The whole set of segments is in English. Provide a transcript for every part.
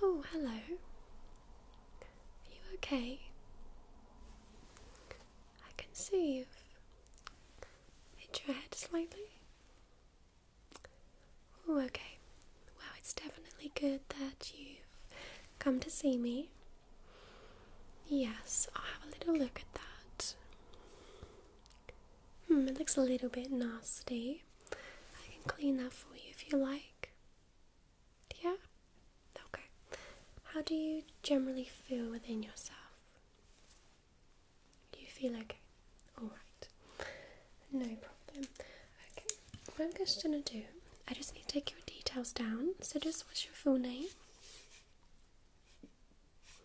Oh, hello. Are you okay? I can see you Hit your head slightly. Oh, okay. Well, it's definitely good that you've come to see me. Yes, I'll have a little look at that. Hmm, it looks a little bit nasty. I can clean that for you if you like. Yeah? Okay. How do you generally feel within yourself? You feel okay? Alright. No problem. Okay, what I'm just gonna do, I just need to take your details down. So, just what's your full name?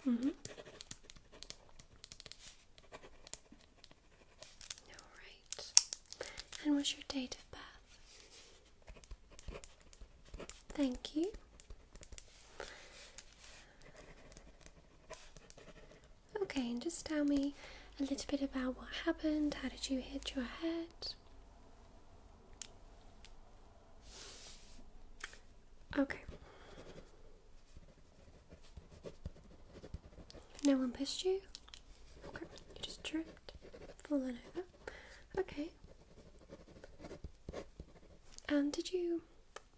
Mm hmm. Alright. And what's your date of birth? Thank you. Okay, and just tell me a little bit about what happened. How did you hit your head? Okay. No one pissed you? Okay, you just tripped, fallen over. Okay. And did you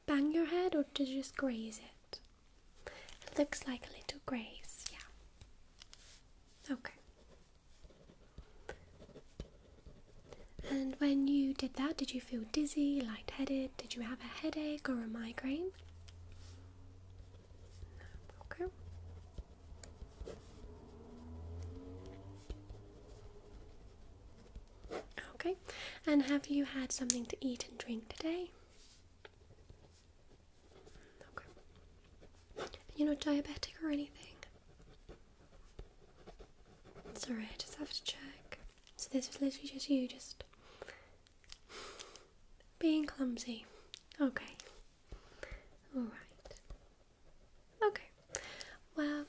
bang your head or did you just graze it? It looks like a little graze, yeah. Okay. And when you did that, did you feel dizzy, lightheaded? Did you have a headache or a migraine? Okay. Okay, and have you had something to eat and drink today? Okay. You're not diabetic or anything? Sorry, I just have to check. So this was literally just you just being clumsy. Okay. Alright. Okay. Well,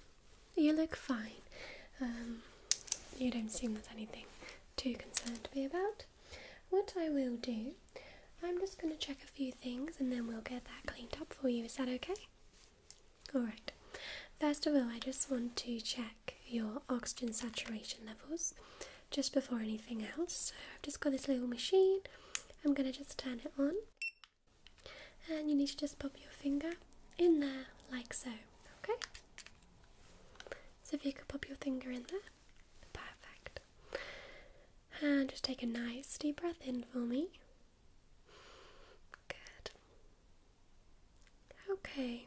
you look fine. Um, you don't seem there's anything too concerned to be about. What I will do, I'm just going to check a few things and then we'll get that cleaned up for you. Is that okay? Alright. First of all, I just want to check your oxygen saturation levels just before anything else. So I've just got this little machine. I'm going to just turn it on and you need to just pop your finger in there like so okay so if you could pop your finger in there perfect and just take a nice deep breath in for me good okay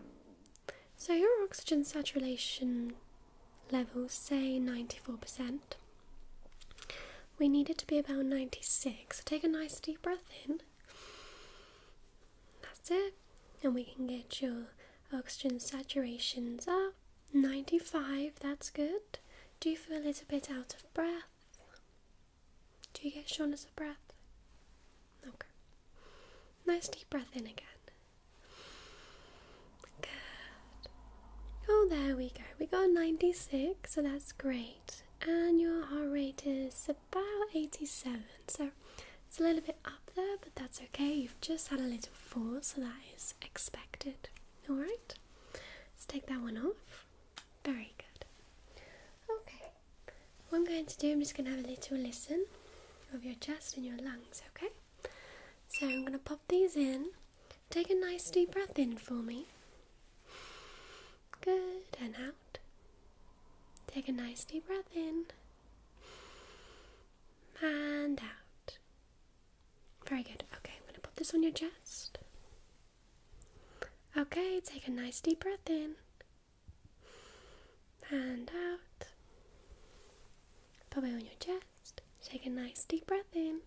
so your oxygen saturation level say 94% we need it to be about 96. So take a nice deep breath in. That's it. And we can get your oxygen saturations up. 95, that's good. Do you feel a little bit out of breath? Do you get shortness of breath? Okay. Nice deep breath in again. Good. Oh, there we go. We got 96, so that's great and your heart rate is about 87. So it's a little bit up there, but that's okay. You've just had a little fall, so that is expected. Alright, let's take that one off. Very good. Okay, what I'm going to do, I'm just going to have a little listen of your chest and your lungs, okay? So I'm going to pop these in Take a nice deep breath in for me. Good, and out. Take a nice deep breath in. And out. Very good. Okay, I'm going to put this on your chest. Okay, take a nice deep breath in. And out. Put it on your chest. Take a nice deep breath in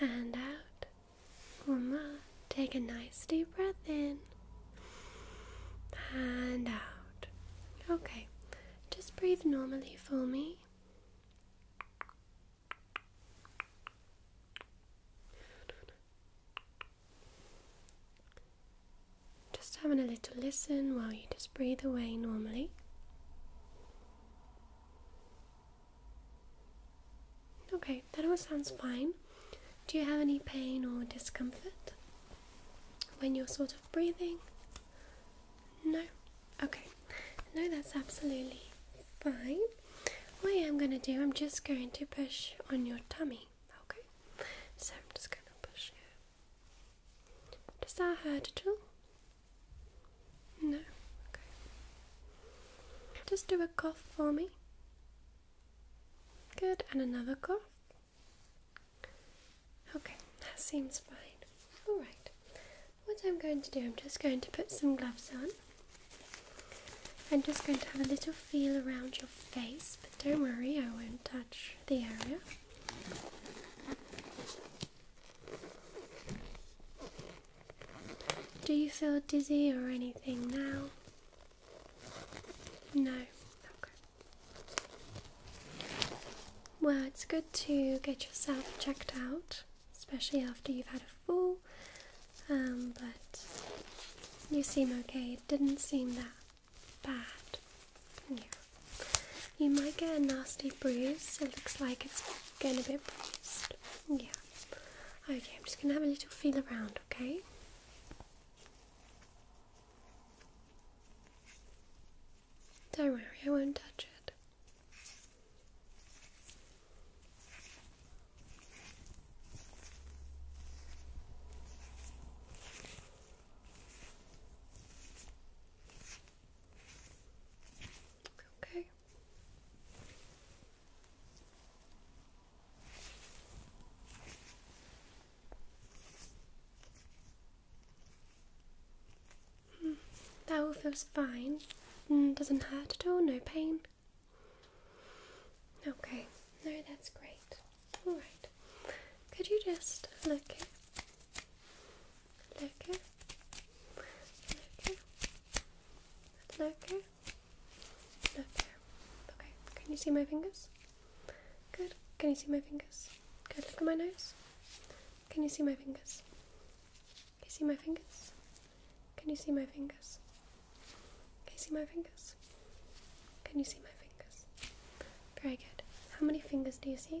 and out. One more. take a nice deep breath in and out. Okay, just breathe normally for me. Just having a little listen while you just breathe away normally. Okay, that all sounds fine. Do you have any pain or discomfort when you're sort of breathing? No? Okay, no, that's absolutely fine. What I am going to do, I'm just going to push on your tummy, okay? So I'm just going to push you. Does that hurt at all? No? Okay. Just do a cough for me. Good, and another cough. Okay, that seems fine. Alright, what I'm going to do, I'm just going to put some gloves on. I'm just going to have a little feel around your face, but don't worry, I won't touch the area. Do you feel dizzy or anything now? No. Well, it's good to get yourself checked out, especially after you've had a fall. Um, but you seem okay. It didn't seem that bad. You might get a nasty bruise. It looks like it's Getting a bit pressed, Yeah. Okay, I'm just going to have a little feel around, okay? Don't worry, I won't touch it. Okay. Mm, that all feels fine. Hmm, doesn't hurt at all, no pain. Okay, no, that's great. Alright, could you just look it lurker, lurker, lurker, lurker. Okay, can you see my fingers? Good. Can you see my fingers? Good. Look at my nose. Can you see my fingers? Can you see my fingers? Can you see my fingers? Can you see my fingers? Very good. How many fingers do you see?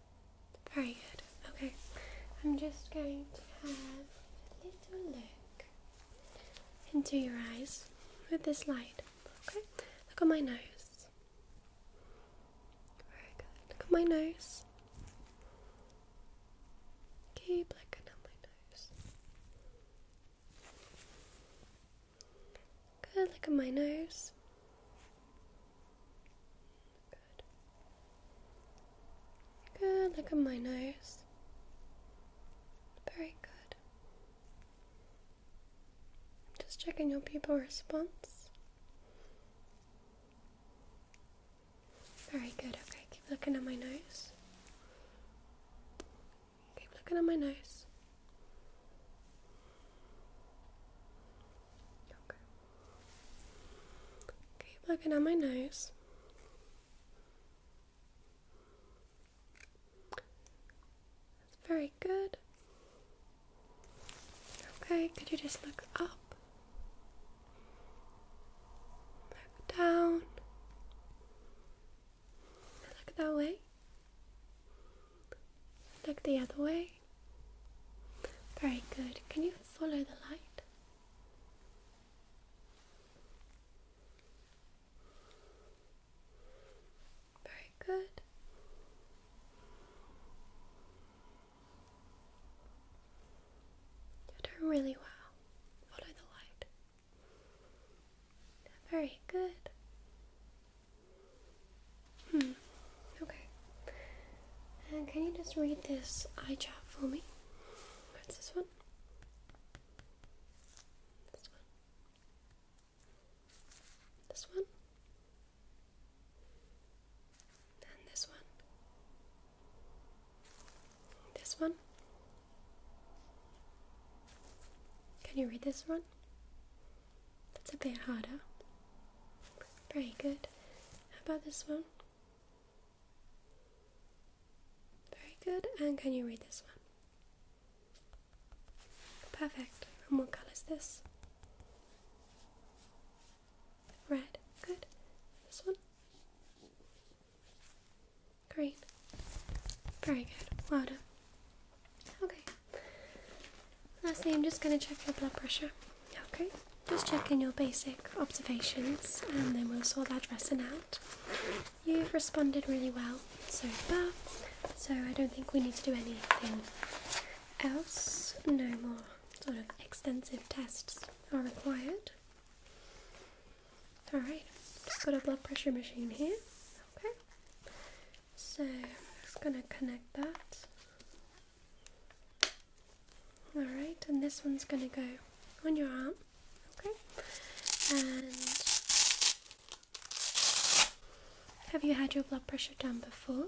Very good. Okay, I'm just going to have a little look into your eyes with this light. Okay, look at my nose. Very good. Look at my nose. Keep looking at my nose. Good. Look at my nose. Good. Good, look at my nose. Very good. Just checking your pupil response. Very good, okay, keep looking at my nose. Keep looking at my nose. Okay. Okay, working on my nose. That's very good. Okay, could you just look up? Look down. Look that way. Look the other way. Very good. Can you follow the light? Very good. You're doing really well. Follow the light. Very good. Hmm. Okay. can you just read this eye chart for me? What's this one? This one. This one. And this one. This one. Can you read this one? That's a bit harder. Very good. How about this one? Very good. And can you read this one? Perfect. And what color is this? Red. Good. This one? Green. Very good. Well done. Okay. Lastly, I'm just going to check your blood pressure. Okay, just checking your basic observations and then we'll sort that dressing out. You've responded really well so far, so I don't think we need to do anything else. No more sort of extensive tests are required. Alright, just got a blood pressure machine here. Okay, so I'm just going to connect that Alright, and this one's going to go on your arm, okay? And have you had your blood pressure done before?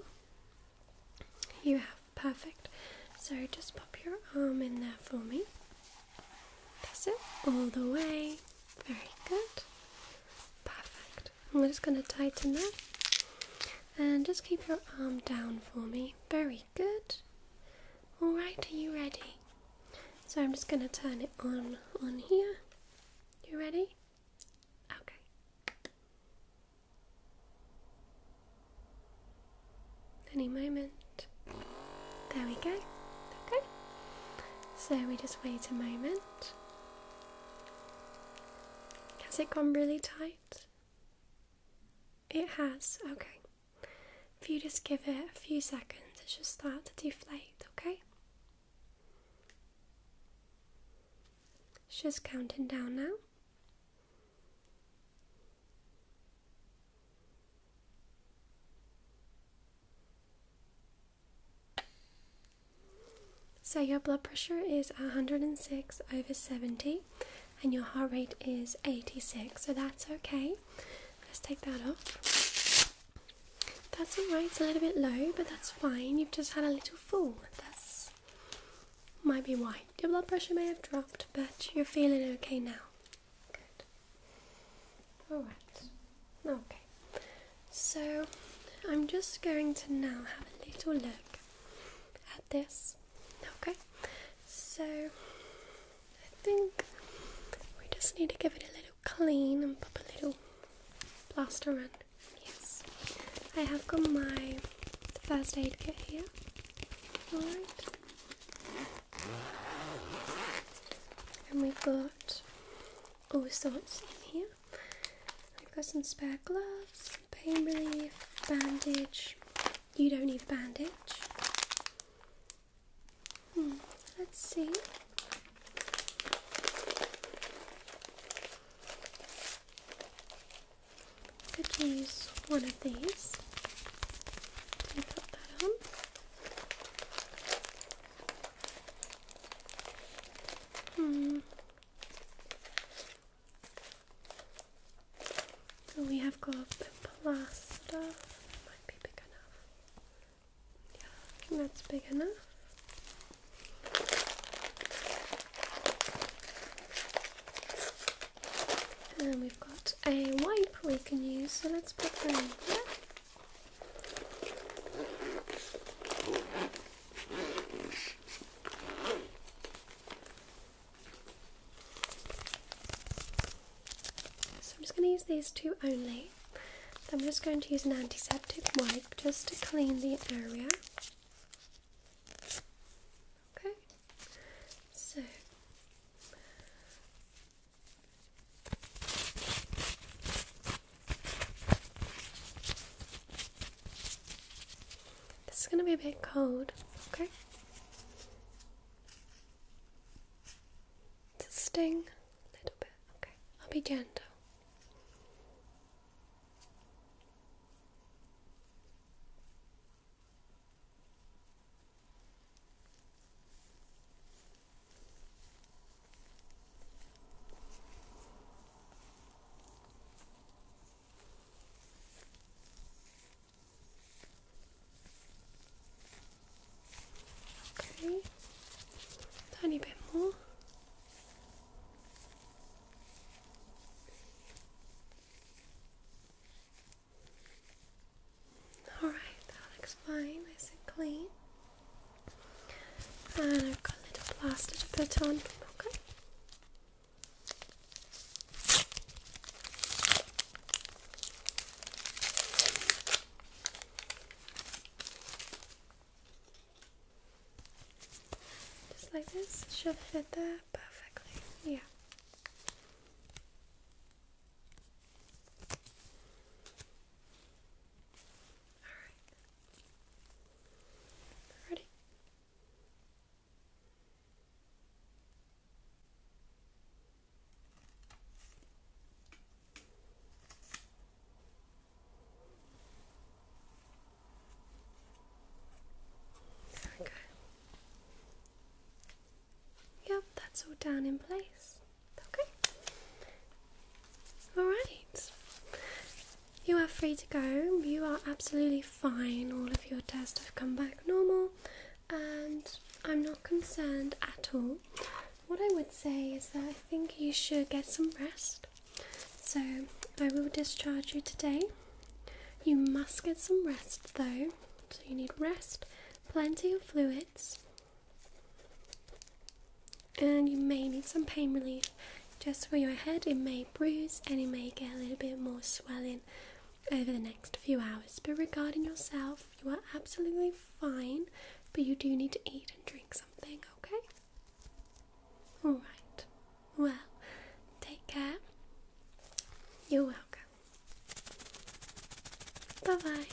You have, perfect. So just pop your arm in there for me. Pass it, all the way. Very good. Perfect. I'm just going to tighten that. And just keep your arm down for me. Very good. Alright, are you ready? So I'm just going to turn it on on here. You ready? Okay. Any moment. There we go. Okay. So we just wait a moment. Has it gone really tight? It has, okay. If you just give it a few seconds, it should start to deflate, okay? It's just counting down now. So, your blood pressure is 106 over 70, and your heart rate is 86, so that's okay. Let's take that off. That's alright, it's a little bit low, but that's fine. You've just had a little fall. That's might be why. Your blood pressure may have dropped, but you're feeling okay now. Good. Alright. Okay. So I'm just going to now have a little look at this. Okay, so I think we just need to give it a little clean and pop a little plaster on. Yes, I have got my first aid kit here. Alright. And we've got Oh, so it's in here. I've got some spare gloves, pain relief, bandage. You don't need a bandage. Hmm, let's see. Could use one of these. put that on. Hmm, we have got the plaster. that's big enough. And we've got a wipe we can use, so let's put that in so I'm just going to use these two only. I'm just going to use an antiseptic wipe just to clean the area. Okay, so this is going to be a bit cold, okay? To sting a little bit, okay? I'll be gentle. Okay, tiny bit more. All right, that looks fine, nice and clean. And I've got a little plaster to put on. Okay. Just like this, should fit there perfectly. Yeah. Alright. Ready? There we go. Yep, that's all down in place. Okay. Alright. You are free to go. You are absolutely fine. All of your tests have come back normal and I'm not concerned at all. What I would say is that I think you should get some rest. So I will discharge you today. You must get some rest though. So you need rest, plenty of fluids, and you may need some pain relief just for your head. It may bruise and it may get a little bit more swelling over the next few hours. But regarding yourself, you are absolutely fine, but you do need to eat and drink something, okay? Alright. Well, take care. You're welcome. Bye bye.